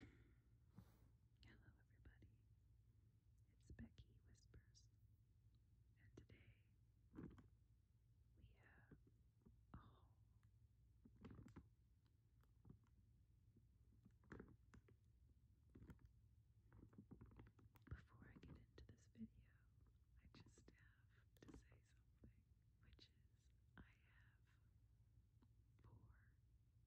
Hello, everybody. It's Becky Whispers, and today we have Before I get into this video, I just have to say something, which is I have four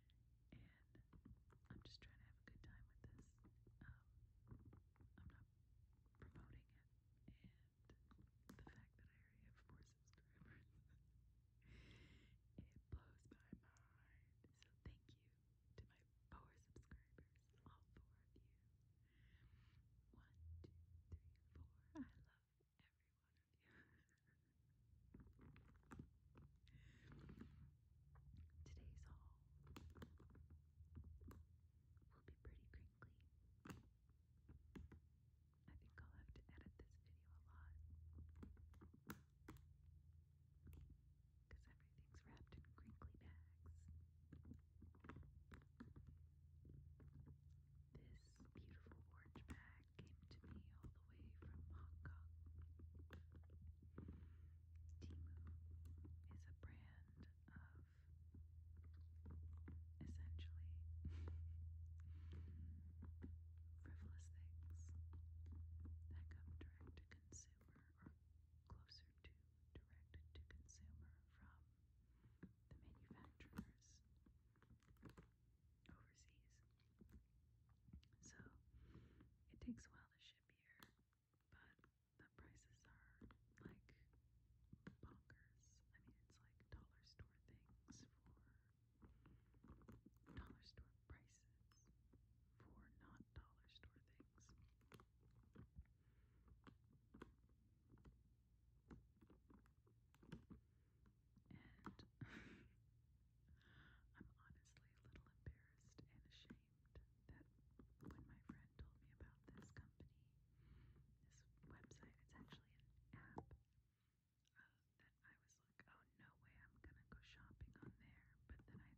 and I'm just trying to have a good time with this. Um, I'm not promoting it, and the fact that I have four subscribers, it blows my mind. So thank you to my four subscribers, all four of you. One, two, three, four. I love every one of you. Today's haul will be pretty crinkly. I think I'll have to edit this video a lot because everything's wrapped in crinkly bags. This beautiful orange bag came to me all the way from Hong Kong. Timu is a brand of essentially frivolous things that come direct to consumer or closer to direct to consumer from the manufacturers overseas. So it takes a while to ship here but the prices are like bonkers. I mean, it's like dollar store things for dollar store prices for not dollar store things. And I'm honestly a little embarrassed and ashamed believed that when my friend told me about this company, this website, it's actually an app, uh, that I was like, oh, no way, I'm gonna go shopping on there. But then I thought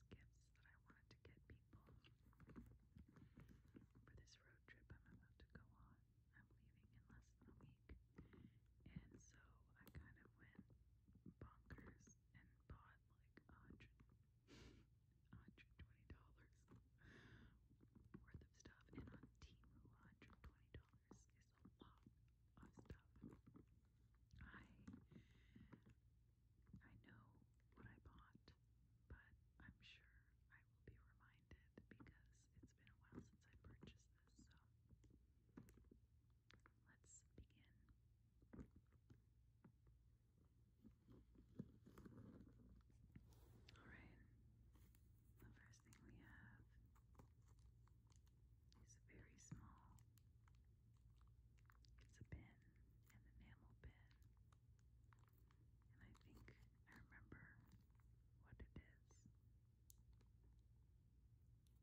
of all these gifts that I wanted to get people for this road trip I'm about to go on. I'm leaving in less than a week. And so I kind of went bonkers and bought like a hundred, hundred twenty dollars worth of stuff. And on Timu, hundred twenty dollars is a lot of stuff. I I know what I bought, but I'm sure I will be reminded because it's been a while since I purchased this. Let's begin. Alright, the first thing we have is very small. It's a pen, an enamel pen. And I think I remember what it is.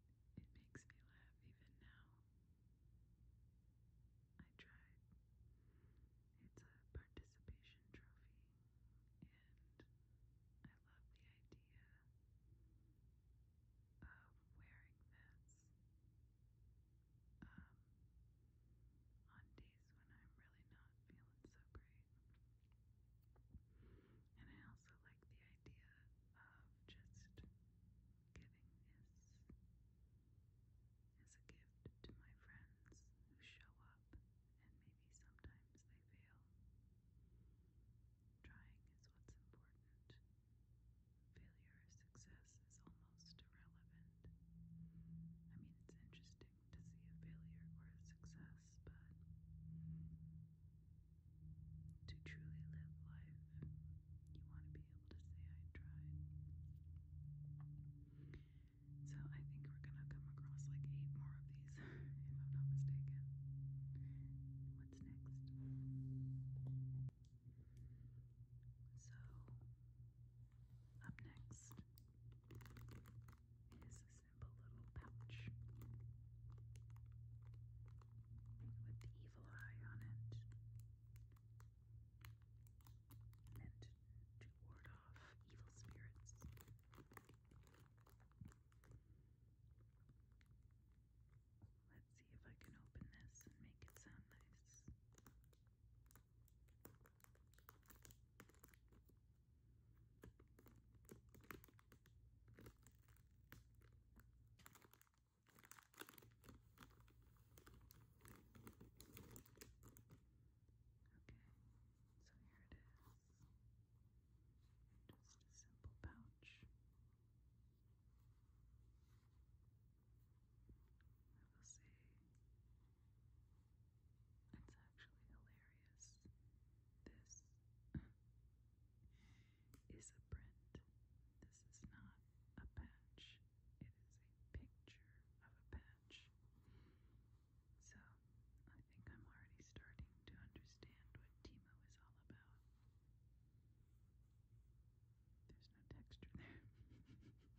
It makes me laugh even now. I tried. It's a participation trophy, and I love the idea of wearing this um, on days when I'm really not feeling so great. And I also like the idea of just giving this as a gift to my friends who show up and maybe sometimes they fail. Trying is what's important. Failure or success is almost irrelevant. I mean, it's interesting to see a failure or a success, but to truly live life, you want to be able to say, I tried. So I think we're going to come across like eight more of these, if I'm not mistaken. What's next? So, up next is a simple little pouch with the evil eye on it, meant to ward off evil spirits. Let's see if I can open this and make it sound nice. Okay, so here it is. Just a simple pouch I will say it's actually hilarious. This is a print. This is not a patch. It is a picture of a patch. So I think I'm already starting to understand what Timo is all about. There's no texture there.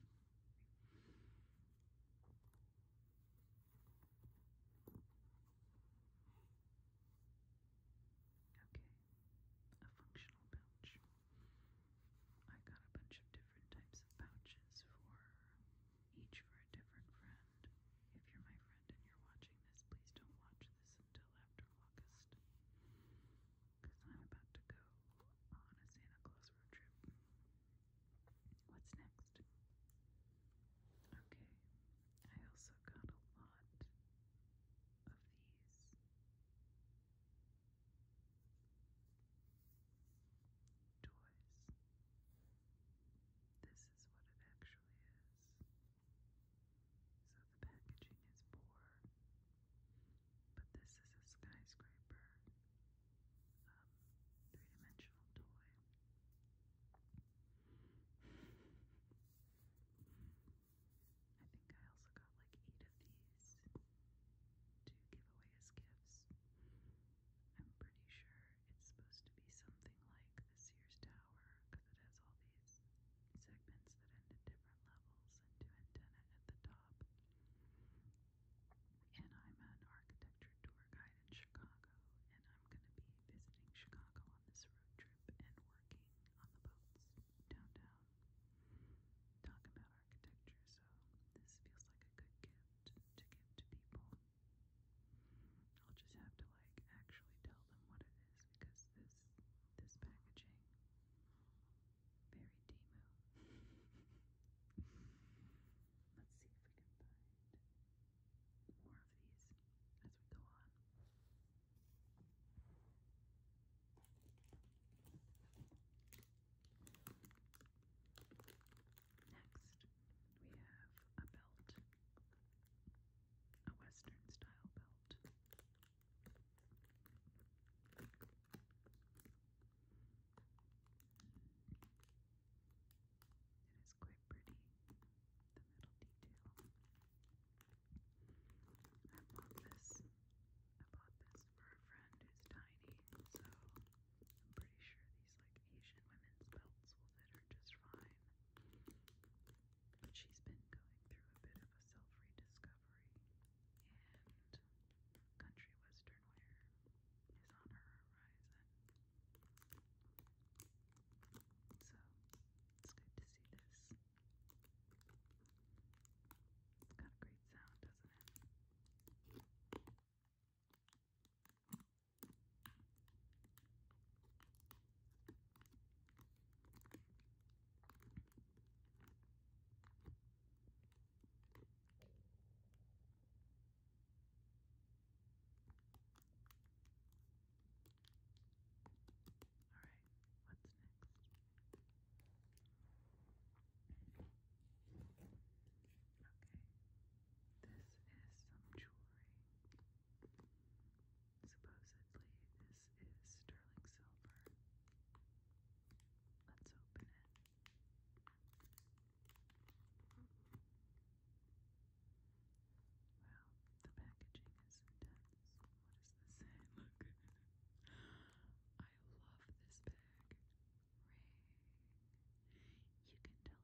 okay, a functional pouch. I got a bunch of different types of pouches for each for a different friend. If you're my friend and you're watching this, please don't watch this until after August. Because I'm about to go on a Santa Claus road trip. What's next? Okay, I also got a lot of these. Toys. This is what it actually is. So the packaging is poor, but this is a skyscraper, um, three dimensional toy. I think I also got like eight of these to give away as gifts. I'm pretty sure it's supposed to be something like the Sears Tower because it has all these segments that end at different levels and two antenna at the top. And I'm an architecture tour guide in Chicago, and I'm going to be visiting Chicago this road trip and working on the boats downtown. Talk about architecture, so this feels like a good gift to give to people. I'll just have to like actually tell them what it is because this this packaging very demo. Let's see if we can find more of these as we go on. Next, we have a belt, a Western style belt. It is quite pretty, the metal detail. I bought this. I bought this for a friend who's tiny, so I'm pretty sure these like Asian women's belts will fit her just fine. But she's been going through a bit of a self-rediscovery, and country western wear is on her horizon. So it's good to see this it's got a great sound, doesn't it? Alright, what's next? Okay, this is some jewelry. Supposedly, this is sterling silver. Let's open it. Wow, the packaging is intense. What does this say? Look. I love this bag. Ring. You can tell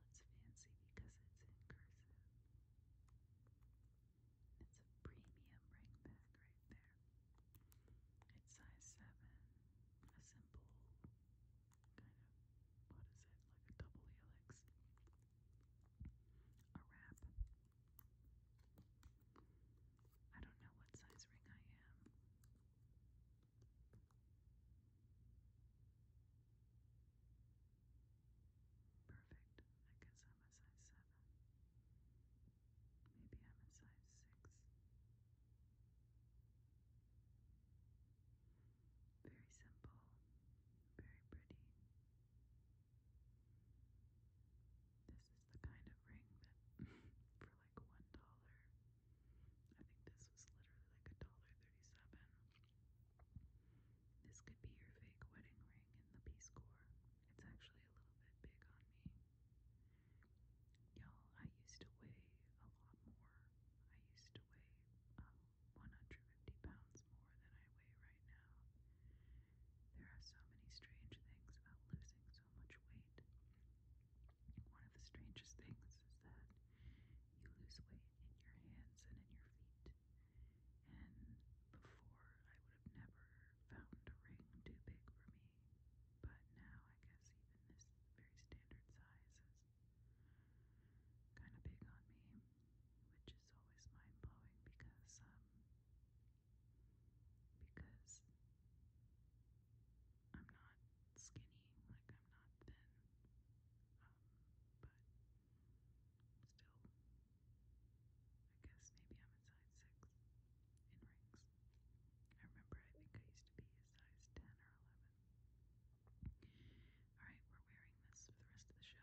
it's fancy because it's in cursive. It's a premium ring bag right there. It's size 7. A simple kind of, what is it, like a double helix. A wrap I don't know what size ring I am. Perfect. I guess I'm a size 7. Maybe I'm a size 6. Very simple, very pretty, this is the kind of ring that for like one dollar. I think this was literally like a dollar thirty-seven. This could be your fake wedding ring in the Peace Corps. It's actually a little bit big on me. Y'all, I used to weigh a lot more. I used to weigh um, 150 pounds more than I weigh right now. There are so many strange things about losing so much weight. One of the strangest things is that you lose weight in your hands and in your feet. And before, I would have never found a ring too big for me. But now, I guess even this very standard size is kind of big on me, which is always mind blowing because um, because I'm not skinny, like I'm not thin, um, but still, I guess maybe I'm a size six in rings. I remember I think I used to be a size ten or eleven. Alright, we're wearing this for the rest of the show.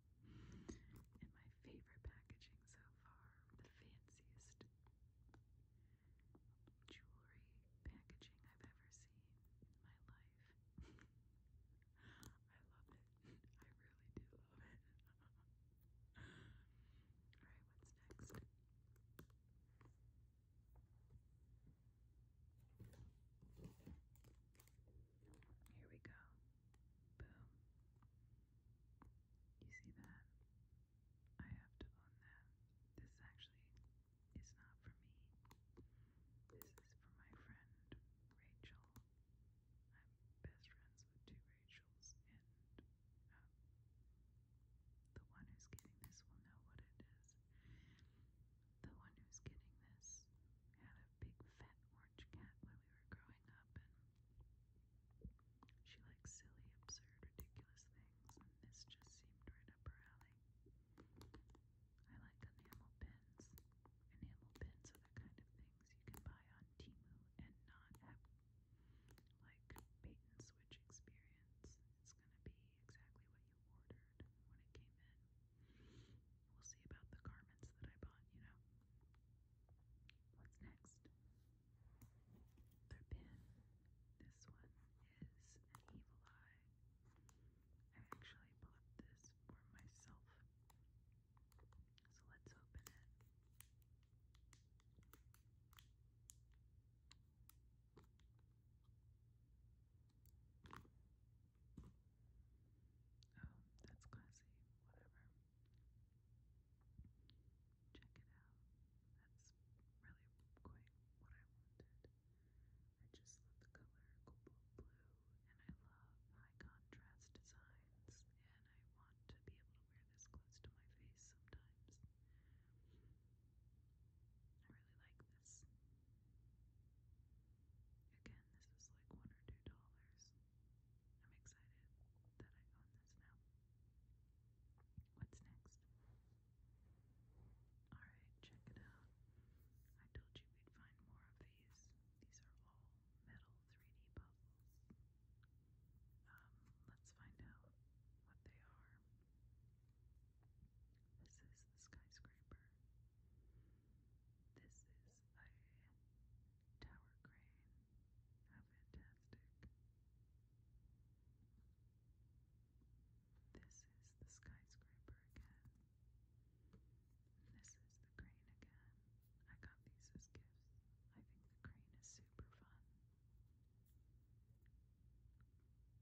And my favorite packaging so far, the fanciest jewelry packaging I've ever seen in my life. I love it. I really do love it. Alright, what's next? Here we go. Boom. You see that? I have to own that. This actually is not for me. This is for my friend Rachel. I'm best friends with two Rachels, and um, the one who's getting this will know what it is. The one who's getting this had a big fat orange cat when we were growing up, and she likes silly, absurd, ridiculous things, and this just seemed right up her alley. I like enamel pins. Enamel pins are the kind of things you can buy on Timu and not have like bait and switch experience. It's gonna be exactly what you ordered when it came in. We'll see about the garments that I bought, you know. What's next? Pin. This one is an evil eye. I actually bought this for myself. So let's open it. Oh, that's classy. Whatever. Check it out. That's really quite what I wanted. I just love the color cobalt blue, and I love high contrast designs, and I want to be able to wear this close to my face sometimes. I really like this. Again, this is like one or two dollars. I'm excited that I own this now. What's next? Alright, check it out. I told you we'd find more of these. These are all metal 3D puzzles. Um, let's find out what they are. This is the skyscraper. This is a tower crane. fantastic! This is the skyscraper again. this is the crane again. I got these as gifts. I think the crane is super fun.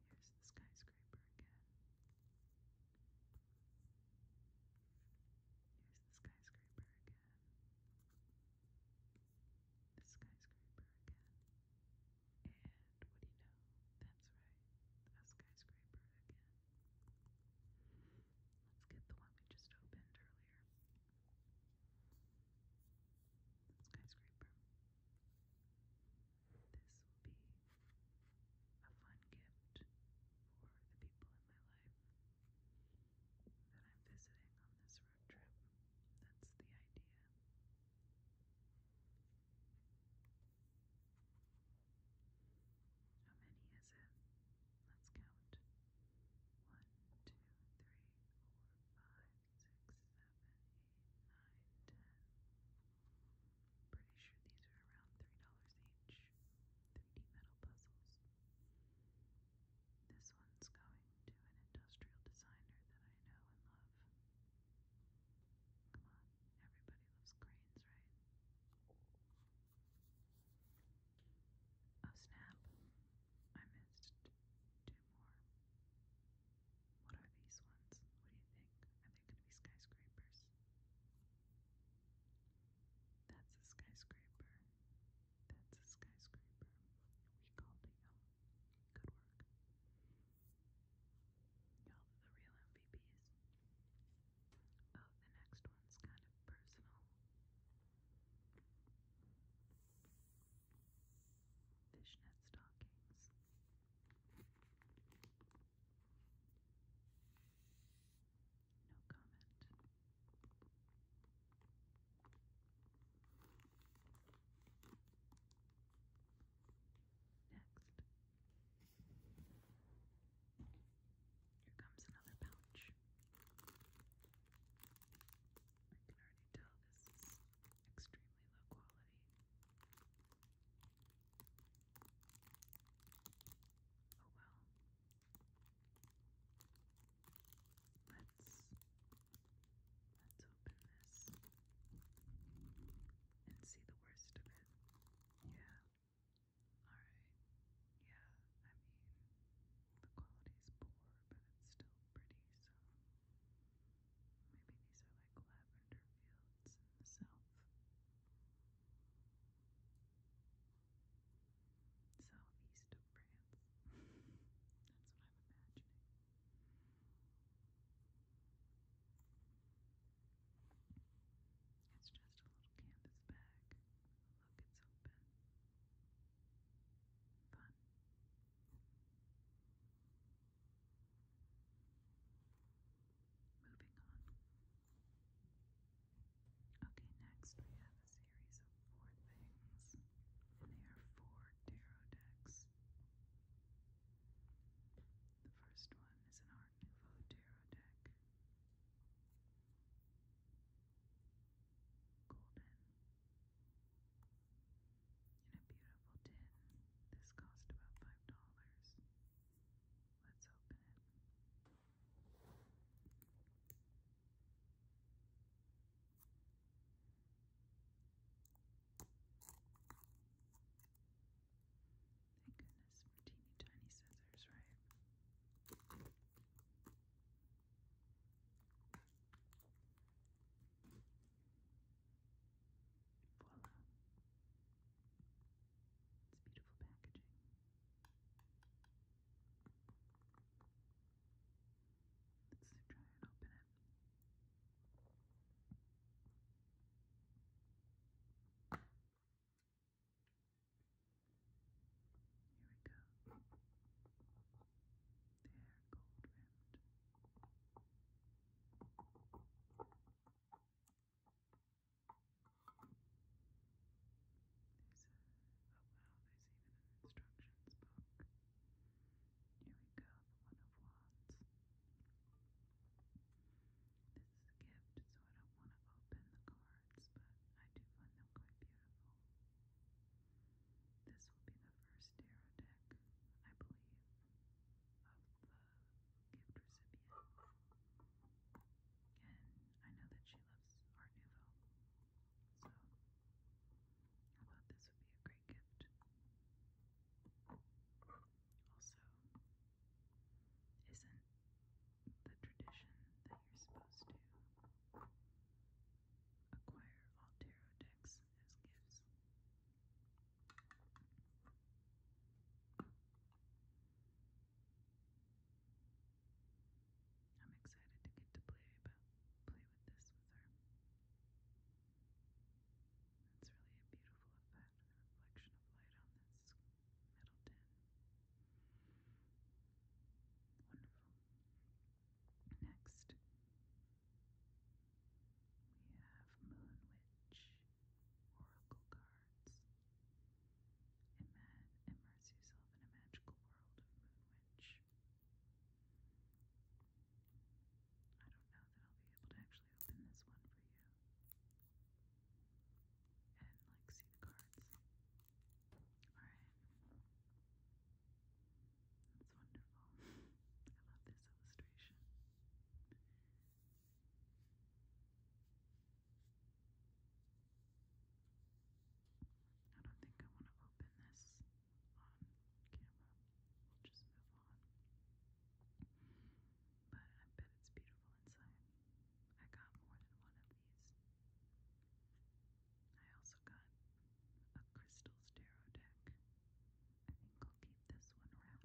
Here's the skyscraper again. Here's the skyscraper again the skyscraper again. And what do you know? That's right, a skyscraper again. Let's get the one we just opened earlier. Skyscraper. This will be a fun gift for the people in my life that I'm visiting on this road trip. That's the idea. How many is it? Let's count. One, two, three, four, five, six, seven, eight, nine, ten. Pretty sure these are around three dollars each. 3 metal puzzles. This one's going to an industrial designer that I know and love. Come on, everybody loves cranes, right? Oh snap, I missed two more. What are these ones? What do you think? Are they going to be skyscrapers? That's a skyscraper. That's a skyscraper. We called it, you um, Good work. you the real MVPs. Oh, the next one's kind of personal. Fishnet stockings. No comment. Next, here comes another pouch. I can already tell this is extremely low quality. Oh well. Let's let's open this and see the worst of it. Yeah. Alright. Yeah, I mean the quality's poor, but it's still pretty, so maybe these are like lavender fields in the south. Southeast that's what I'm imagining. It's just a little canvas bag. Look, it's open. Fun. Moving on. Okay, next we have series of four things, and they are four tarot decks. The first one is an Art Nouveau tarot deck. Golden. In a beautiful tin. This cost about five dollars. Let's open it. Thank goodness for teeny tiny scissors, right? Voila. It's beautiful packaging. Let's try and open it. Here we go. There, gold rimmed. There's a, oh there's even an instructions book. Here we go, One of Wands. This is a gift, so I don't want to open the cards, but I do find them quite beautiful. This will be the first tarot deck, I believe, of the gift recipient. And I know that she loves Art Nouveau, so I thought this would be a great gift. Also, isn't the tradition that you're supposed to acquire all tarot decks as gifts? I'm excited to get to play about play with this smoother. That's really a beautiful effect, the reflection of light on this metal tin. Wonderful. Next, we have Moon Witch Oracle Cards. Imagine, immerse yourself in a magical world of Moon Witch which I don't know that I'll be able to actually open this one for you and like see the cards. Alright. That's wonderful. I love this illustration. I don't think I want to open this on camera. We'll just move on. But I bet it's beautiful inside. I got more than one of these. I also got a crystals tarot I think I'll keep this one wrapped, honestly. Because this one I'm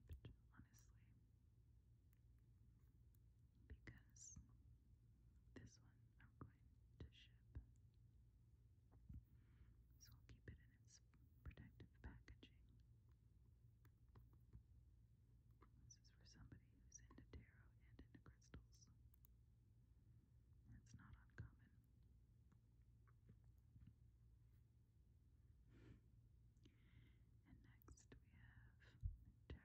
going to ship so I'll keep it in its protective packaging. This is for somebody who's into tarot and into crystals. That's not uncommon. And next we have Tarot del It's really funny play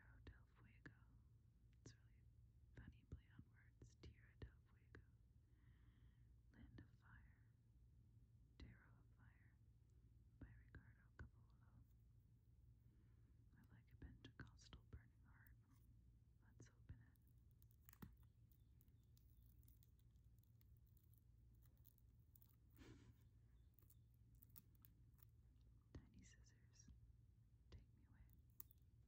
on words, Tierra del Land of Fire, Tarot of Fire by Ricardo Cavallo. I like a Pentecostal burning heart. Let's open it. Tiny scissors, take me away.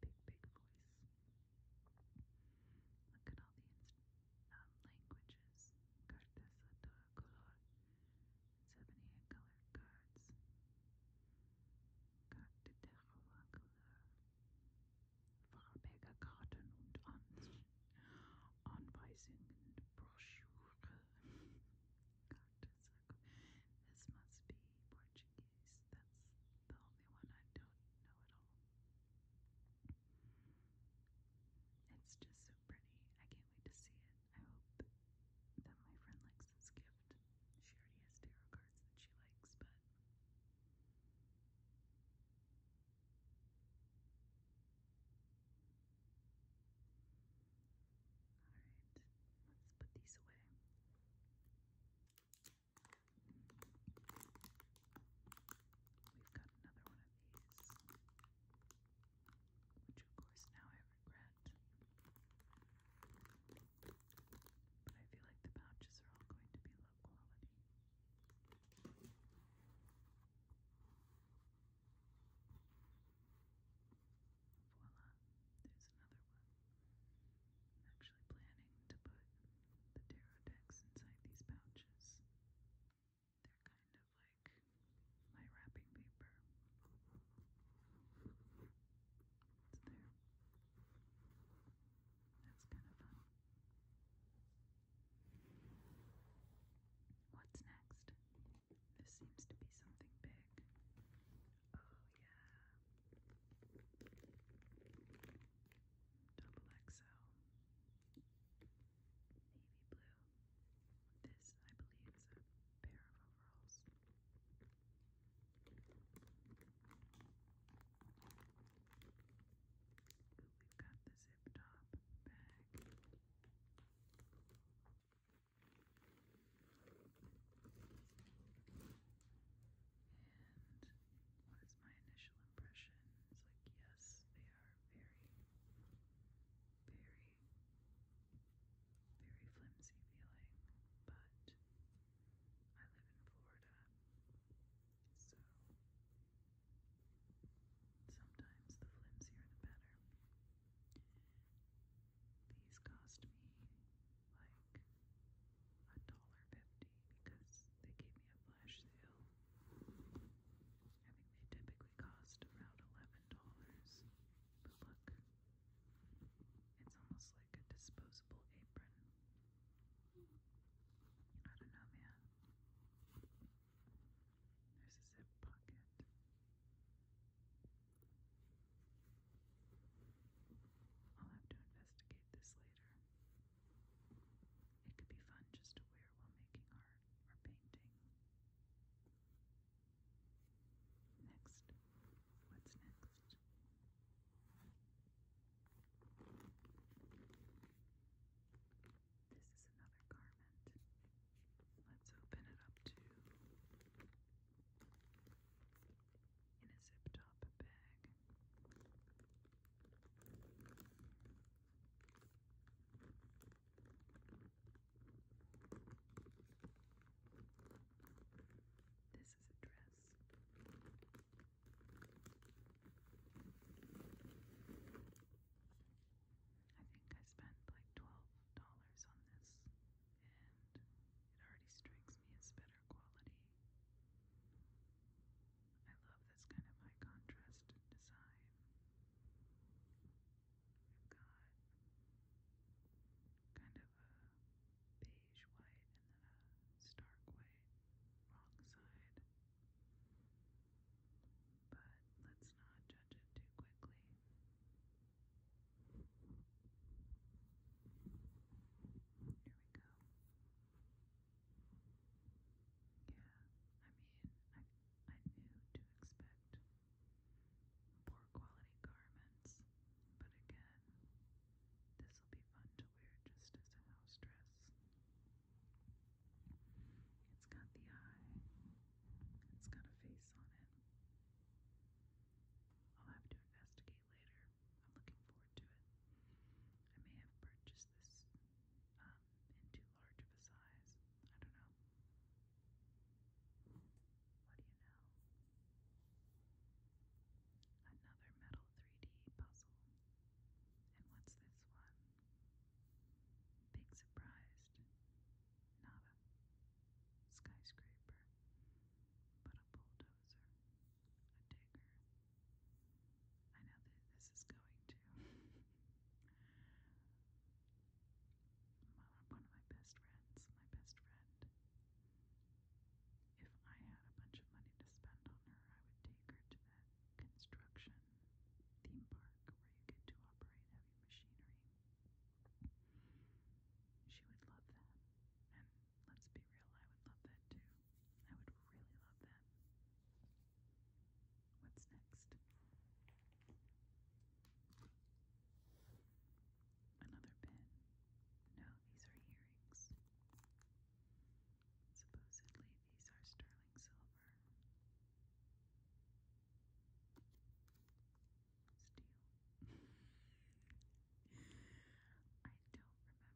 big, big voice. Look at all the um, languages. Cartes a todo color. 78 Karten und An Anweisungen, Broschüre this must be Portuguese. That's the only one I don't know at all. It's just so pretty. I can't wait to see it. I hope that my friend likes this gift. She already has tarot cards that she likes, but. Alright, let's put these away. We've got another one of these, which of course now I regret. But I feel like the pouches are all going to be low quality. Voila, there's another one actually planning to put the tarot decks inside these pouches. They're kind of like my wrapping paper. It's there. That's kind of fun. What's next? This seems to be something big. Oh, yeah. Double XL. Navy blue. This, I believe, is a pair of overalls. we've got the zip top bag. And what is my initial impression? It's like, yes, they are very, very, very flimsy feeling, but I live in Florida, so sometimes the flimsier the better. These cost me like a dollar fifty because they gave me a flash sale. I think they typically cost around eleven dollars. But look, it's almost like a disposable apron. I don't know, man. There's a zip pocket. I'll have to investigate this later. It could be fun just to wear while making art or painting. Next, what's next? This is another garment. Let's open it up to in a zip top bag. This is a dress. I think I spent like $12 on this, and it already strikes me as better quality I love this kind of high contrast design. We've got kind of a beige white and then a stark white wrong side. But let's not judge it too quickly. Here we go. Yeah, I mean, I, I knew to expect poor quality garments, but again, this will be fun to wear just as a house dress. It's got the eye, it's got a face on it. I'll have to investigate later I'm looking forward to it. I may have purchased this um, in too large of a size. I don't know. What do you know? Another metal 3D puzzle. And what's this one? Big surprised. Nada. Skyscraper but a bulldozer, a digger. I know that this is going to. one of my best friends, my best friend. If I had a bunch of money to spend on her, I would take her to that construction theme park where you get to operate heavy machinery. She would love that. Let's be real, I would love that too. I would really love that. What's next? Another pin. No, these are earrings. Supposedly, these are sterling silver. Steel. I don't remember if it said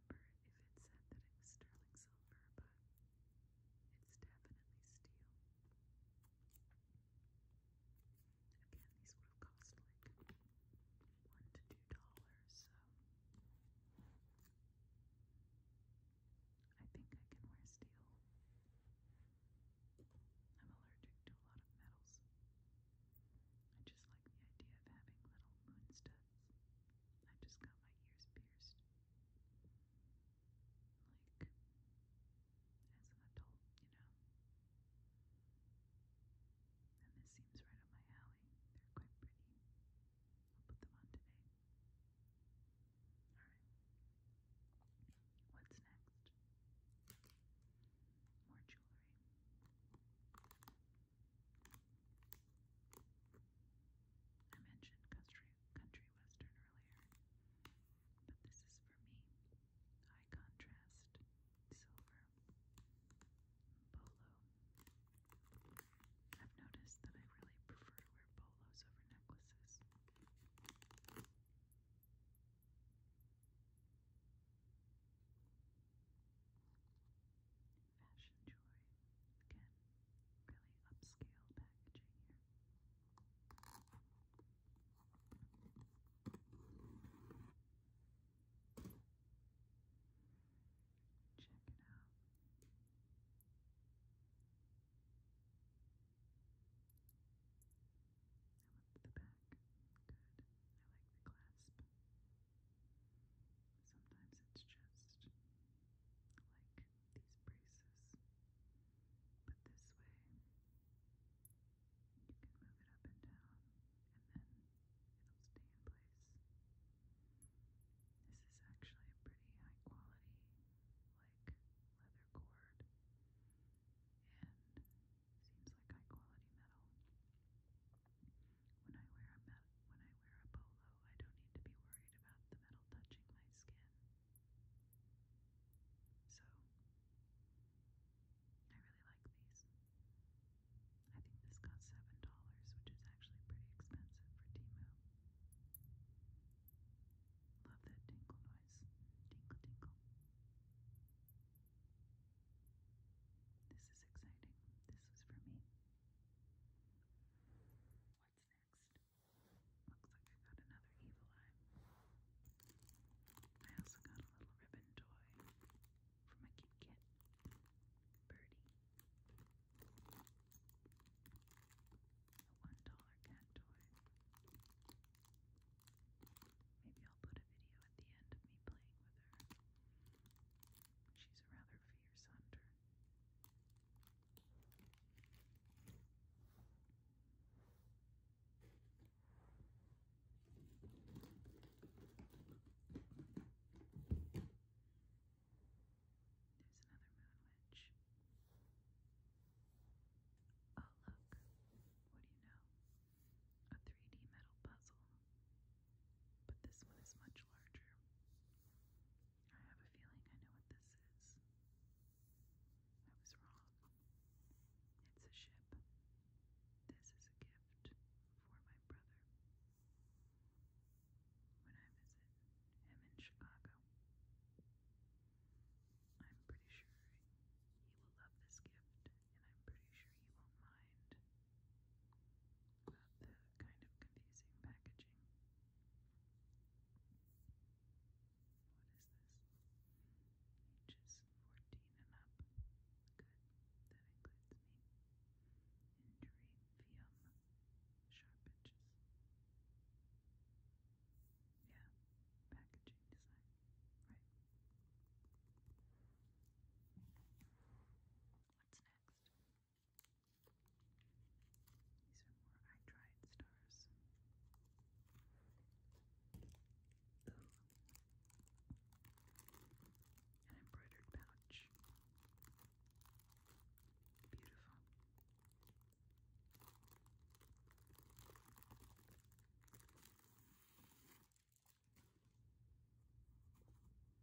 that it was sterling silver, but it's definitely steel. Again, these would have cost like one to two dollars, so I think I can wear steel. I'm allergic to a lot of metals. I just like the idea of having little moon studs I just got my ears pierced. Like, as an adult, you know. And this seems right up my alley. They're quite pretty. I'll put them on today. Alright. What's next? More jewelry. I mentioned country country western earlier, but this is for me. High contrast, silver, bolo. I've noticed that I really prefer to wear bolos over necklaces. Fashion Joy. Again, really upscale packaging here. Check it out. I love the back. Good. I like the clasp. Sometimes it's just like these braces, but this way you can move it up and down and then it'll stay in place. This is actually a pretty high quality, like leather cord, and seems like high quality metal. When I wear a when I wear a polo, I don't need to be worried about the metal touching my skin. So I really like these. I think this cost seven dollars, which is actually pretty expensive for Timo. Love that tinkle noise. Tinkle tinkle. This is exciting. This was for me. What's next? Looks like I got another evil eye. I also got a little ribbon toy from a Kit birdie. A one dollar cat toy. Maybe I'll put a video at the end of me playing with her. She's a rather fierce hunter. There's another moon witch. Oh, look. What do you know? A 3D metal puzzle. But this one is much larger. I have a feeling I know what this is. I was wrong. It's a ship. This is a gift for my brother. When I visit him in Chicago, I'm pretty sure he will love this gift, and I'm pretty sure he won't mind about kind of confusing packaging. What is this? Ages 14 and up. Good. That includes me. Injury, fium, sharp edges. Yeah, packaging design. Right. What's next? These are more I tried stars. Ooh. An embroidered pouch. Beautiful.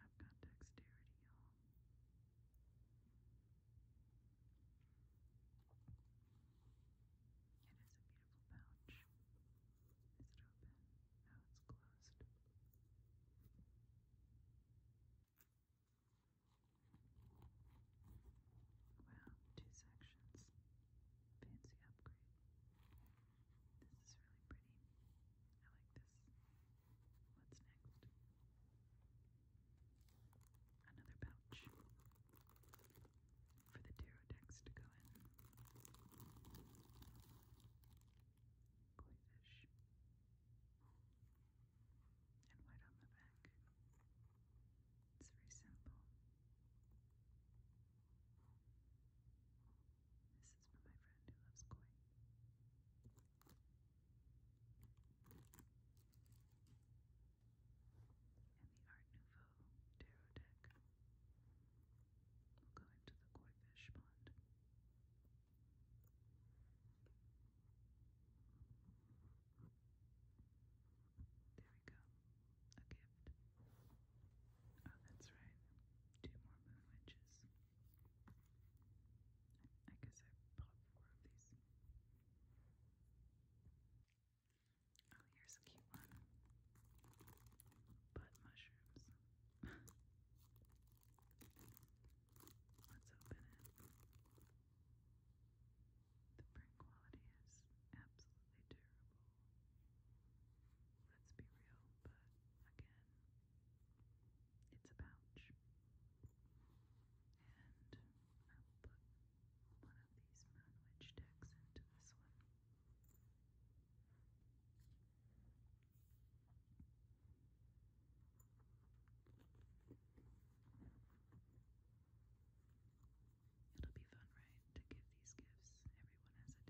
That's right. I've got dexterity, y'all. It is a beautiful pouch. Is it open? No, it's closed. Wow, two sections. Fancy upgrade. This is really pretty. I like this. What's next? Another pouch for the tarot decks to go in. Koi fish and white on the back. It's very simple. This is for my friend who loves koi. And the Art Nouveau tarot deck will go the koi fish pond. There we go. A gift. Oh, that's right. Two more moon witches. I guess I bought four of these. Oh, here's a cute one. Butt mushrooms. Let's open it. The print quality is absolutely terrible. Let's be real, but again, it's a pouch. And I'll put one of these Moonwitch decks into this one. It'll be fun, right, to give these gifts. Everyone has a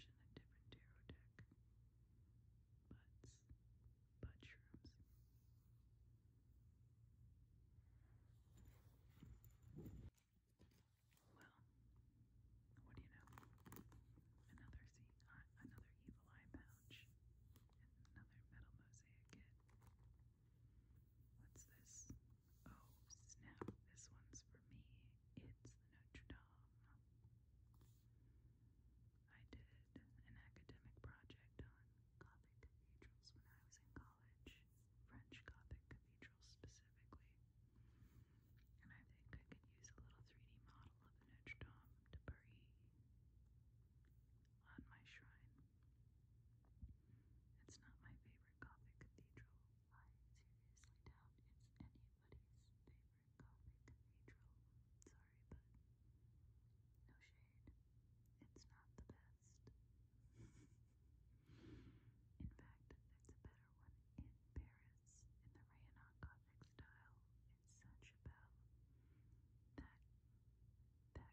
different pouch and a different tarot deck. Butts. Butt Well, what do you know? Another see, uh, another evil eye pouch, another metal mosaic kit. What's this? Oh, snap. This one's for me. It's the Notre Dame. I did an academic project on Gothic cathedrals when I was in college, French Gothic cathedrals specifically. And I think I could use a little 3D model of the Notre Dame de Paris on my shrine. It's not my favorite Gothic cathedral. I seriously doubt it's anybody's favorite Gothic cathedral. Sorry, but no shade. It's not the best. in fact, there's a better one in Paris in the Rayonac Gothic style. It's Saint Chapelle.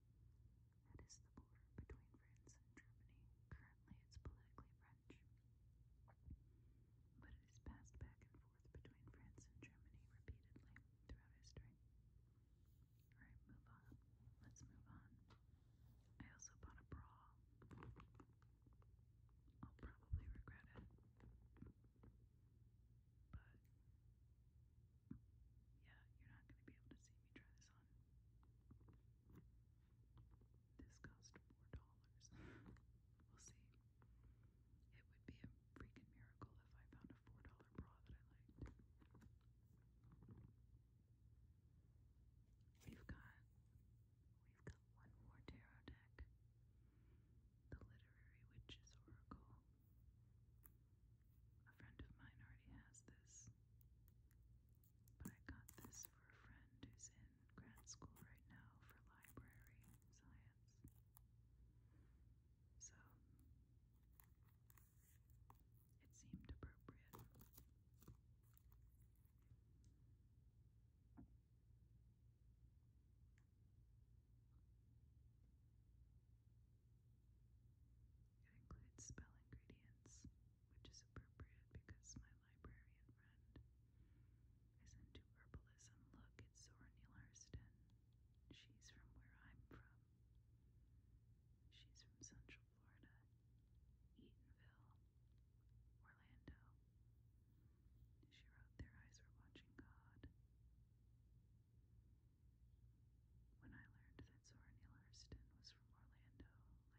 That is the border between France and Germany. Currently, it's politically French. But it is passed back and forth between France and Germany repeatedly throughout history. Alright, move on. Let's move on. I also bought a bra. I'll probably regret it. But yeah, you're not going to be able to see me try this this cost $4. we'll see. It would be a freaking miracle if I found a $4 bra that I liked. We've got we've got one more tarot deck. The Literary Witch's Oracle. A friend of mine already has this. But I got this for a friend who's in grad school right now for library science. So it seemed appropriate. It includes spell ingredients, which is appropriate because my librarian friend is into herbalism. Look, it's Zora Neale Hurston. She's from where I'm from. She's from Central Florida, Eatonville, Orlando. She wrote Their Eyes Were Watching God. When I learned that Zora Neale Hurston was from Orlando,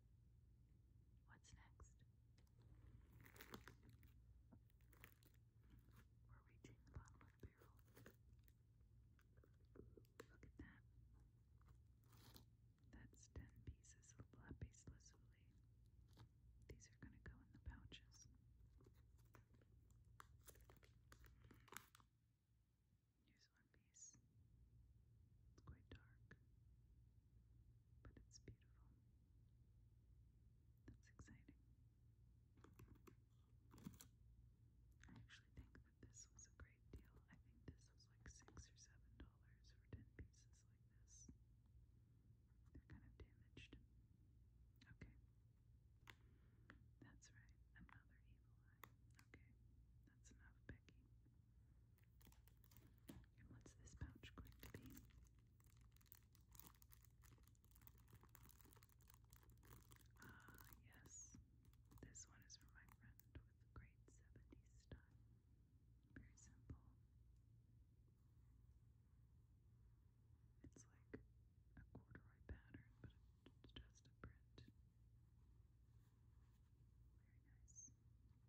What's next? We're reaching the bottom of the barrel. Look at that. That's 10 pieces of lapis lazuli. These are going to go in the pouches. Here's one piece. It's quite dark but it's beautiful. That's exciting. I actually think that this was a great deal. I think this was like six or seven dollars for ten pieces like this. They're kind of damaged. Okay. That's right. Another evil eye. Okay. That's enough, Becky. what's this pouch going to be? Ah, uh, yes. This one is for my friend with the great 70s style. Very simple. It's like a corduroy pattern, but it's just a print. Very nice.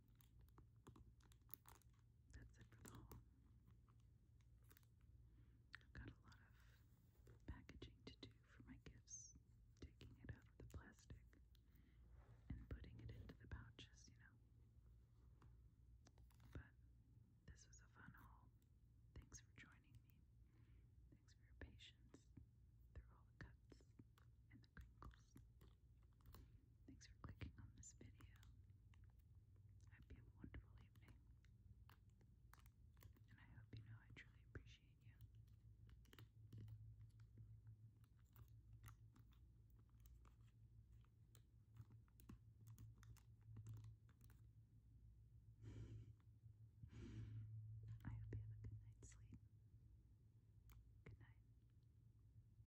That's it for the haul. I've got a lot of packaging to do for my gifts, taking it out of the plastic and putting it into the pouches, you know. But this was a fun haul. Thanks for joining me. Thanks for your patience through all the cuts and the crinkles. Thanks for clicking on this video. have a wonderful evening. And I hope you know I truly appreciate you. I hope you have a good night's sleep. Good night.